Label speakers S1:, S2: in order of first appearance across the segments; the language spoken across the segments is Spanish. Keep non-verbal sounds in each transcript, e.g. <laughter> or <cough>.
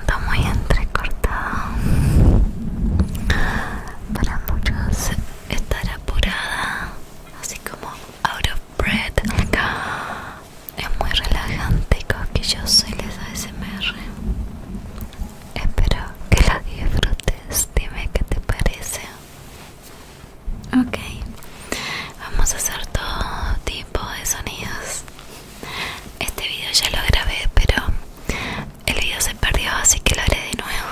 S1: Está muy
S2: entrecortado. Para muchos estar apurada, así como out of breath acá, es muy relajante y yo soy les SMR Espero que la disfrutes. Dime que te parece. Ok, vamos a hacer todo tipo de sonidos. Este video ya lo grabé, pero el video se perdió, así que lo haré de nuevo.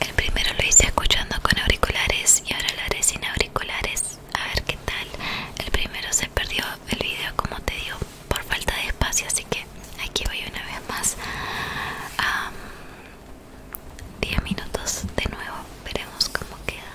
S2: El primero lo hice escuchando con auriculares y ahora lo haré sin auriculares. A ver qué tal. El primero se perdió el video, como te digo, por falta de espacio, así que aquí voy una vez más. 10 minutos de nuevo, veremos cómo queda.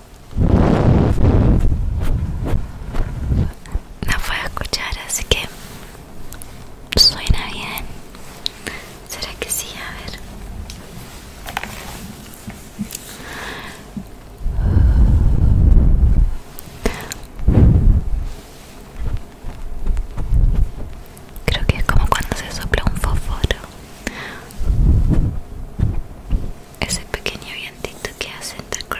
S2: no fue a escuchar así que suena bien será que sí a ver Creo que es como cuando se sopla un fósforo ese pequeño vientito que hace entrecortado.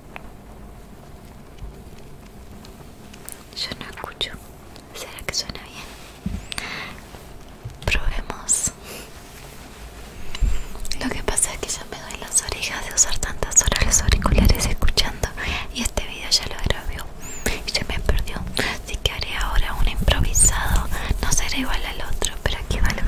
S2: Yo no escucho. ¿Será que suena bien? Probemos. Lo que pasa es que ya me doy las orejas de usar tantas horas los auriculares escuchando y este video ya lo grabé y se me perdió. Así que haré ahora un improvisado. No será igual al otro, pero aquí va lo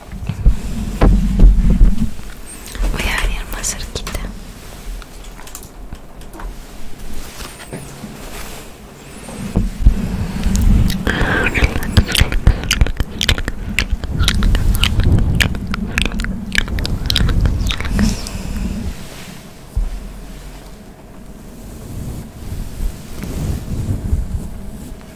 S1: Voy a venir más cerquita.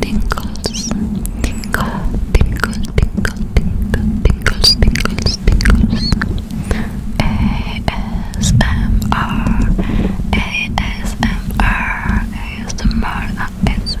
S1: tingles, tingle, tingle, tingle, tingle, tingles, tingles, tingles. ASMR, ASMR, ASMR, ASMR.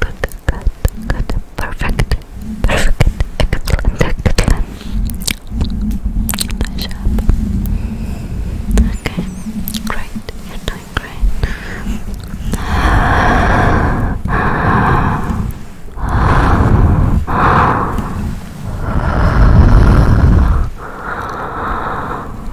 S1: good, good, good, perfect, perfect, excellent, excellent. Okay, great, you're doing great.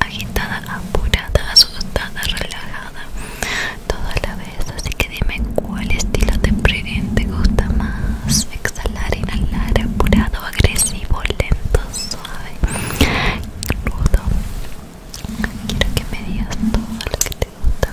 S2: agitada, apurada, asustada, relajada, Toda la vez. Así que dime cuál estilo de te gusta más: exhalar, inhalar, apurado, agresivo, lento, suave, rudo. Quiero que me digas todo lo que te gusta.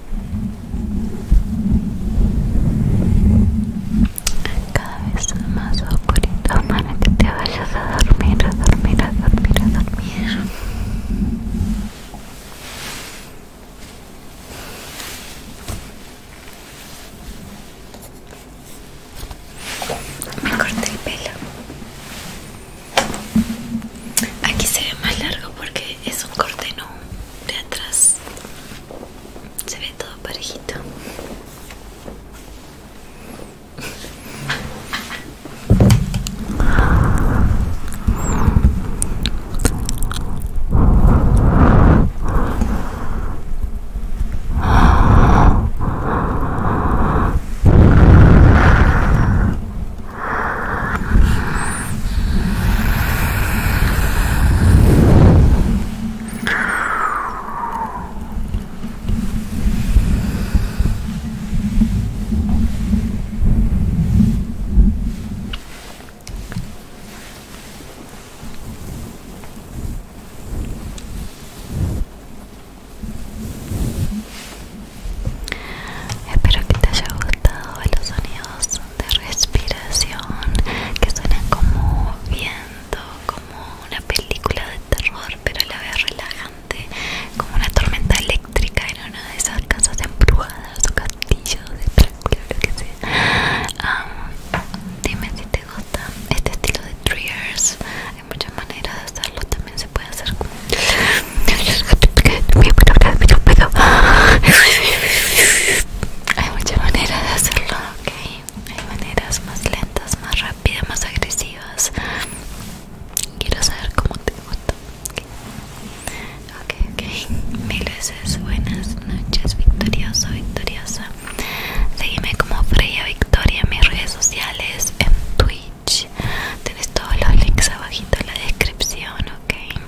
S2: cada vez más oscurito para que te vayas a dormir, a dormir, a dormir, a dormir. Me corté el pelo. Aquí se ve más largo porque es un corte no de atrás se ve todo parejito Espero que te haya gustado los sonidos de respiración que suena como viento, como una película de terror, pero la vez relajante, como una tormenta eléctrica en una de esas casas embrujadas o castillos de Drácula, lo que sea. dime si te gusta este estilo de triggers. Hay muchas maneras de hacerlo, también se puede hacer <laughs> hay muchas maneras de hacerlo, ok. Hay maneras más lentas, más rápidas, más agresivas. Quiero saber cómo te gusta. Ok, ok. Mil veces buenas noches, victorioso, victoriosa. Seguime como Freya Victoria en mis redes sociales, en Twitch. Tienes todos los links abajito en la descripción, ok.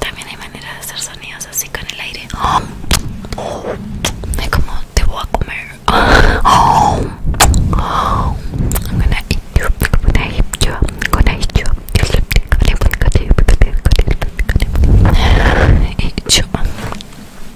S1: También hay manera de hacer sonidos así con el aire. Es como te voy a comer. I'm gonna eat you. I'm gonna eat you. I'm gonna eat you. I'm gonna eat you.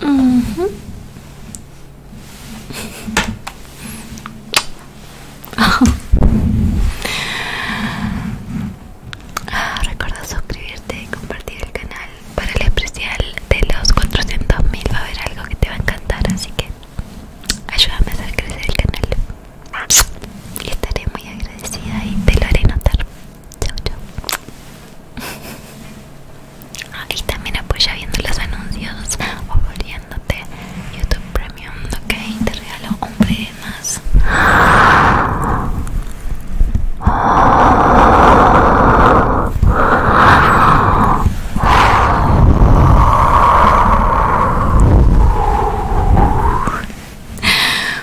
S1: Mm <laughs> recuerda
S2: suscribirte y compartir el canal para el especial de los 400.000 va a haber algo que te va a encantar así que ayúdame a hacer crecer el canal y estaré muy agradecida y te lo haré notar Ah, y también apoya viendo los anuncios o volviéndote YouTube Premium, ok. Te regalo un premio más.